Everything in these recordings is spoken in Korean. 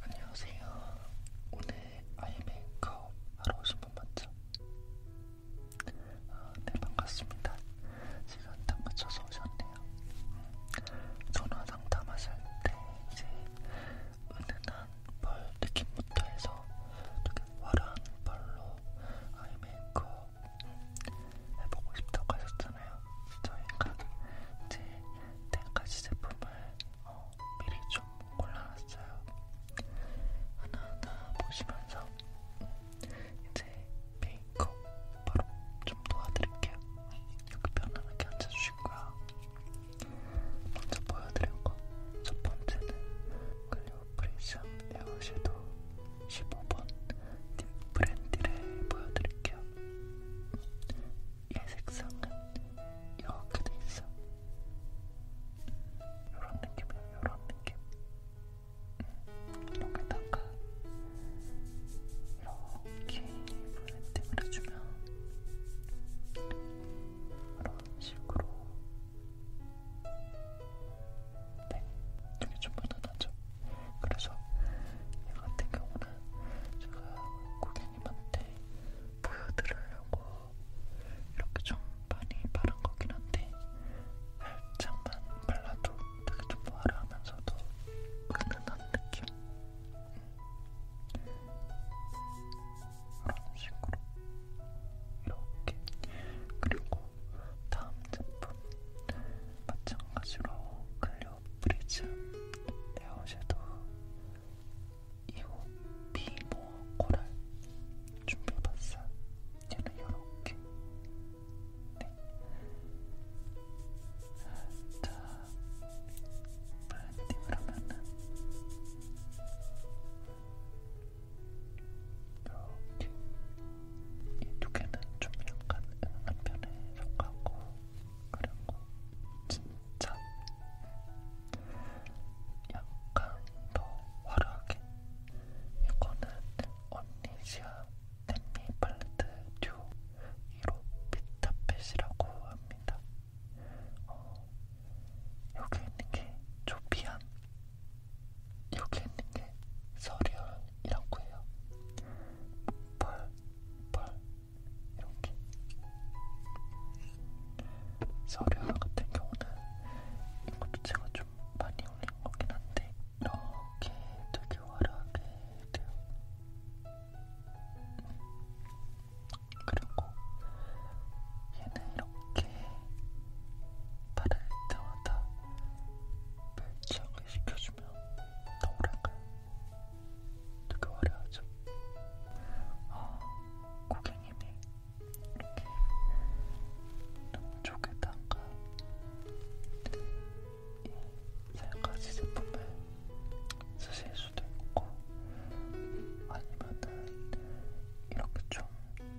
안녕하세요. 오늘 아이메이크업 하러 오신 분 맞죠? 아, 네, 반갑습니다. 시간 딱 맞춰서 오셨네요. 음, 전화 상담하실 때 이제 은은한 펄 느낌부터 해서 되게 화려한 펄로 아이메이크업 음, 해보고 싶다고 하셨잖아요. 있잖아요. 저희가 이제 10가지 제품을 어, 미리 좀 골라놨어요. 하나하나 보시면서 이제 메이크업 바로 좀 도와드릴게요. 여기 편안하게 앉아주시고요. 먼저 보여드린 거첫 번째는 클리오 프리션 에어섀도 15번 딥 브랜디를 보여드릴게요. 얘 색상은 이렇게 돼 있어. 이런 느낌이야, 이런 느낌. 음, 여기다가 이렇게 브랜딩을 해주면 이런 식으로. 네, 이게 좀 무난하죠? 그래서 이 같은 경우는 제가 고객님한테 보여드리려고 이렇게 좀 많이 바른 거긴 한데 살짝만 발라도 되게 좀 화려하면서도 은은한 느낌? 이런 식으로 이렇게 그리고 다음 제품 마찬가지로 클리어 뷰 프리즘 에어섀도우 2호 비모어 코랄 준비해봤어요. 얘는 요렇게. 네. 자, 블렌딩을 하면은 이렇게 이두 개는 좀 약간 은은한 편에 속하고 그리고 진짜 약간 더 화려하게 이거는 언니시아 댄미 팔레트 듀 1호 피타펫이라고 합니다. 어, 여기 있는 게 조피안, 여기 있는 게 서리얼 이라고 해요. 펄, 펄, 이렇게. 서류 같은 경우는 이것도 제가 좀 많이 올린 거긴 한데 이렇게 되게 화려하게 돼요. 그리고 얘는 이렇게 바를 때마다 발작을 시켜주면 더 오래가요. 되게 화려하죠? 어, 고객님이 이렇게 눈 쪽에다가 이세 가지 제품을 쓰실 수도 있고 아니면은 이렇게 좀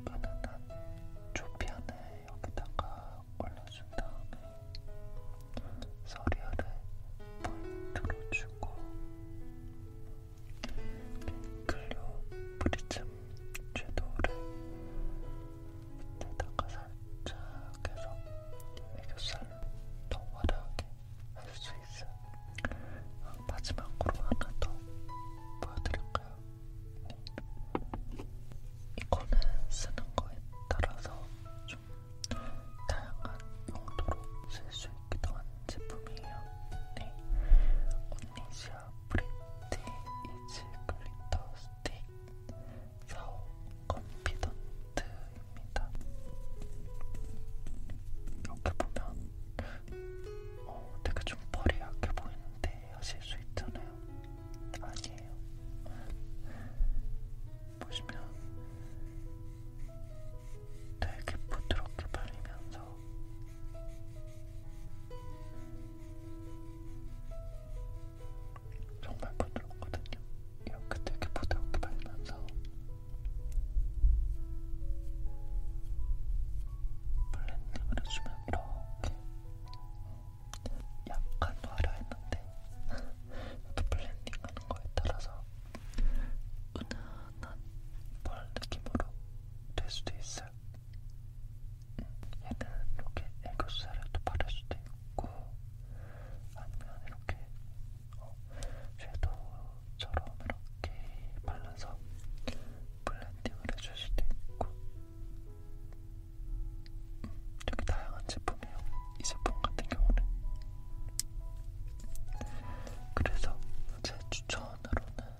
은은한 초피하는 여기다가 올려준 다음에 서리알에 물 들어주고 클리오 프리즘 섀도우를 밑에다가 살짝 해서 애교살로 더 화려하게 할 수 있어요. 마지막으로 하나 더 보여드릴까요? 이거는 쓰는 거에 따라서 좀 다양한 용도로 쓸 수 있기도 한 제품이에요. 네, 언니시아 프리티 이즈 글리터 스틱 4호 컨피던트입니다. 이렇게 보면 어, 되게 좀 펄이 약해 보이는데 때 하실 수 있잖아요. 아니에요. 보시면 되게 부드럽게 발리면서 정말 부드럽거든요. 이렇게 되게 부드럽게 발리면서 블렌딩을 해주면 이렇게 약간 화려했는데 또 블렌딩하는 거에 따라서 은은한 펄 느낌으로 될 수도 있어요. 음, 얘는 이렇게 애교살에 또 바를 수도 있고 아니면 이렇게 어, 섀도우처럼 이렇게 발라서 블렌딩을 해줄 수도 있고 음, 되게 다양한 제품이에요. 이 제품 같은 경우는 그래서 제 추천으로는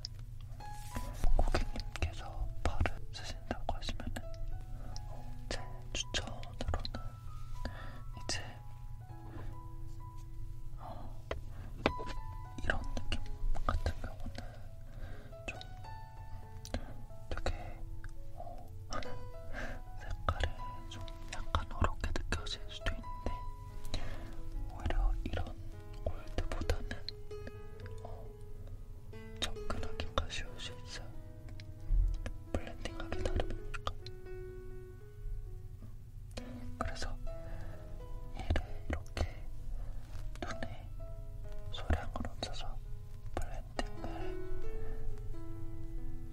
고객님께서 발을 쓰신다고 하시면은 어, 제 추천으로는 이제 어, 이런 느낌 같은 경우는 좀 되게 어, 색깔이 좀 약간 어렵게 느껴질 수도 있는데 오히려 이런 골드보다는 어, 접근하기가 쉬울 수 있어요. 블렌딩하기 나름이니까. 그래서 얘를 이렇게 눈에 소량으로 얹어서 블렌딩을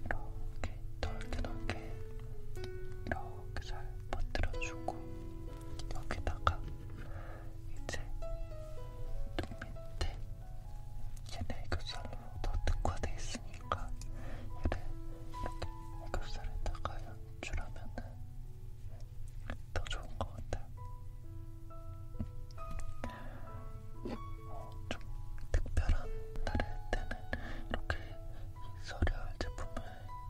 이렇게 넓게 넓게 이렇게 잘 퍼뜨려주고 여기다가 이제 눈 밑에 얘네 애교살로 더 특화돼 있으니까 얘를 이렇게 애교살에다가 연출하면 더 좋은 것 같아요. 어, 좀 특별한 날일 때는 이렇게 서리얼 제품을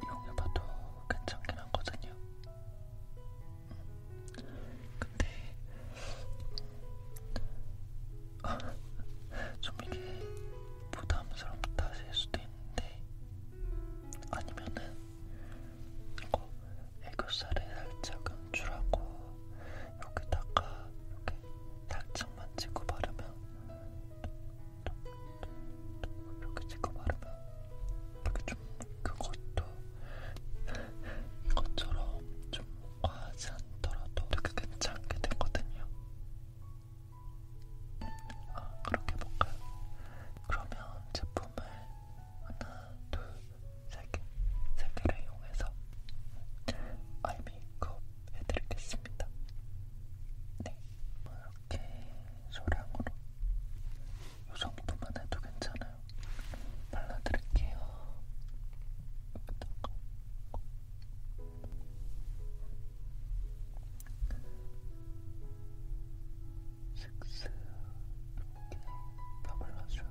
이용해봐도 괜찮긴 하거든요. 음. 근데 음, 좀 이게 부담스럽다 하실 수도 있는데 아니면은 이거 애교살에 살짝 연출하고 여기다가 이렇게 살짝만 찍고 바르면 이렇게 찍고 바르면 이렇게 좀 그것도 이것처럼 좀 과하지 않더라도 되게 괜찮게 되거든요. 아, 그렇게 볼까요? 그러면 제품을 하나, 둘, 세 개, 세 개를 이용해서 아이 메이크업 해드리겠습니다. 네, 이렇게 소량으로 이 정도만 해도 괜찮아요. 발라드릴게요. 여기다가 슥슥 이렇게 다 발라줘.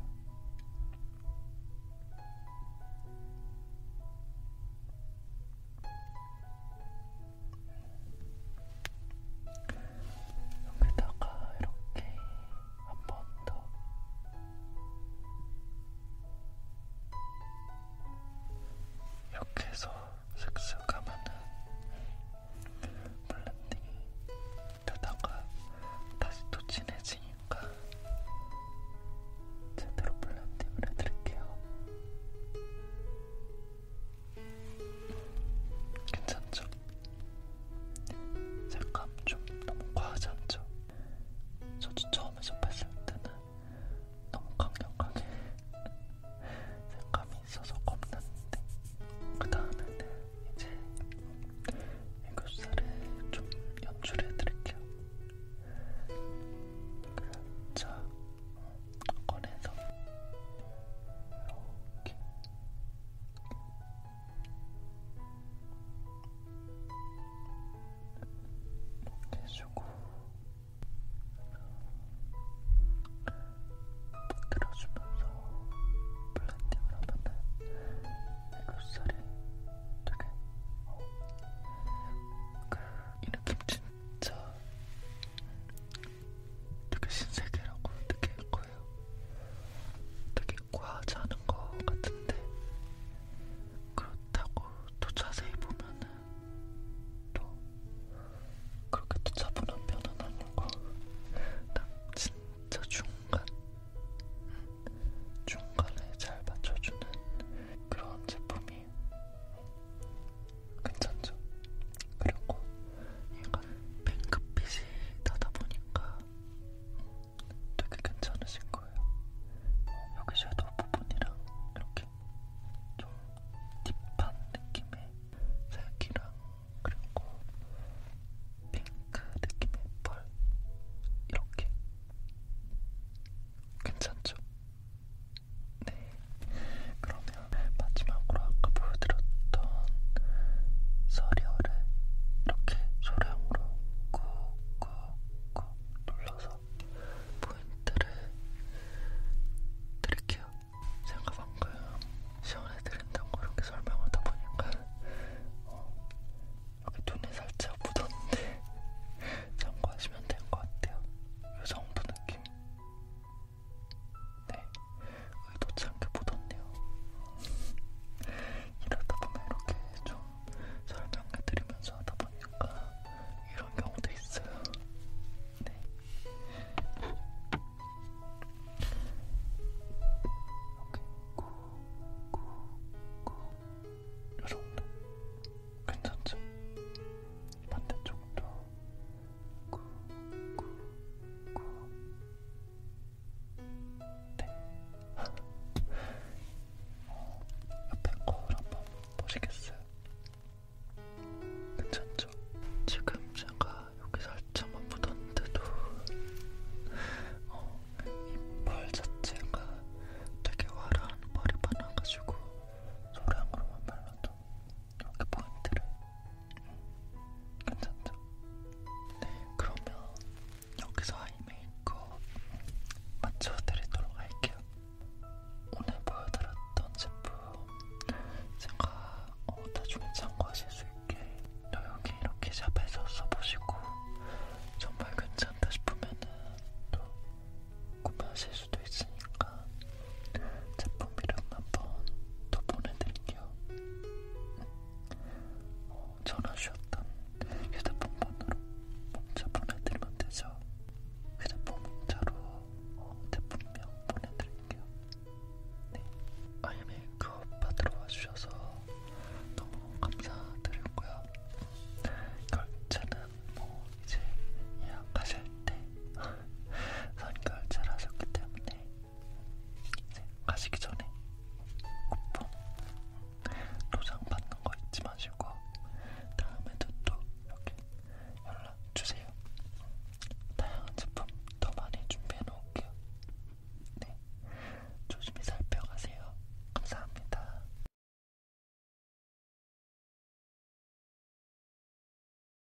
여기다가 이렇게 한 번 더. 이렇게 해서 슥슥 하면은 블렌딩이 되다가 다시 또 진해지니까 제대로 블렌딩을 해드릴게요. 괜찮죠? 색감 좀 너무 과하지 않죠? 저도 처음에 접했을 때는 너무 강력하게 색감이 있어서 겁났는데 그 다음에는 이제 애교살을 좀 연출해드릴게요. 살짝 그 꺼내서 이렇게 해주고 부드러주면서 블렌딩을 하면은 애교살이 되게 어, 그이 느낌 진짜 되게 신세계라고 느낄 거예요. 되게 있고 하지 않은 것 같은데 그렇다고 또 자세히 보면은 또 그렇게 또 차분한 편은 아니고 딱 진짜 중간 중간에 잘 맞춰주는 그런 제품이 괜찮죠? 그리고 얘가 핑크빛이 나다 보니까 되게 괜찮으신 거예요. 어, 여기 섀도우 부분이랑 이렇게 좀 딥한 느낌의 색이랑 그리고 핑크 느낌의 펄 이렇게 괜찮죠? 네. 그러면 마지막으로 아까 보여드렸던 서리어를 이렇게 소량으로 손가락으로 꾹꾹꾹 눌러서 포인트를 드릴게요. 제가 방금 시원해드린다고 이렇게 설명하다 보니까 어, 여기 눈이 살짝 묻었는데 참고하시면 될것 같아요. 이 정도 느낌. 네, 의도치 않게 묻었네요. 이러다 보면 이렇게 좀 설명해드리면서 하다 보니까 이런 경우도 있어요. 네. 오케이, 구구구 여러분들 괜찮죠? 반대쪽도 구구구 네. 어, 옆에 거울 한번 보시겠어요? 괜찮죠? 지금 제가 여기 살짝만 묻었는데도 어, 이펄 자체가 되게 화려한 펄이 많아가지고 소량으로만 발라도 여기 포인트를 괜찮죠? 그러면 여기서 아이 메이크업 맞춰드리도록 할게요. 오늘 보여드렸던 제품 제가 어, 나중에 참고하실 수 있게 여기 이렇게 샵에서 써보시고 정말 괜찮다 싶으면 또 구매하실 수도 있으니까 제품 이름 한번 더 보내드릴게요. 어, 전화 주셨던 휴대폰 번호로 문자 보내드리면 되죠. 휴대폰 문자로 어, 제품명 보내드릴게요. 네, 아이엠의 그업 받으러 와주셔서 너무 감사드리고요. 결제는 뭐 이제 예약하실 때 선결제를 하셨기 때문에 이제 가시기 전에 쿠폰 도장 받는 거 잊지 마시고 다음에도 또 이렇게 연락 주세요. 다양한 제품 더 많이 준비해 놓을게요. 네, 조심히 살펴가세요. 감사합니다.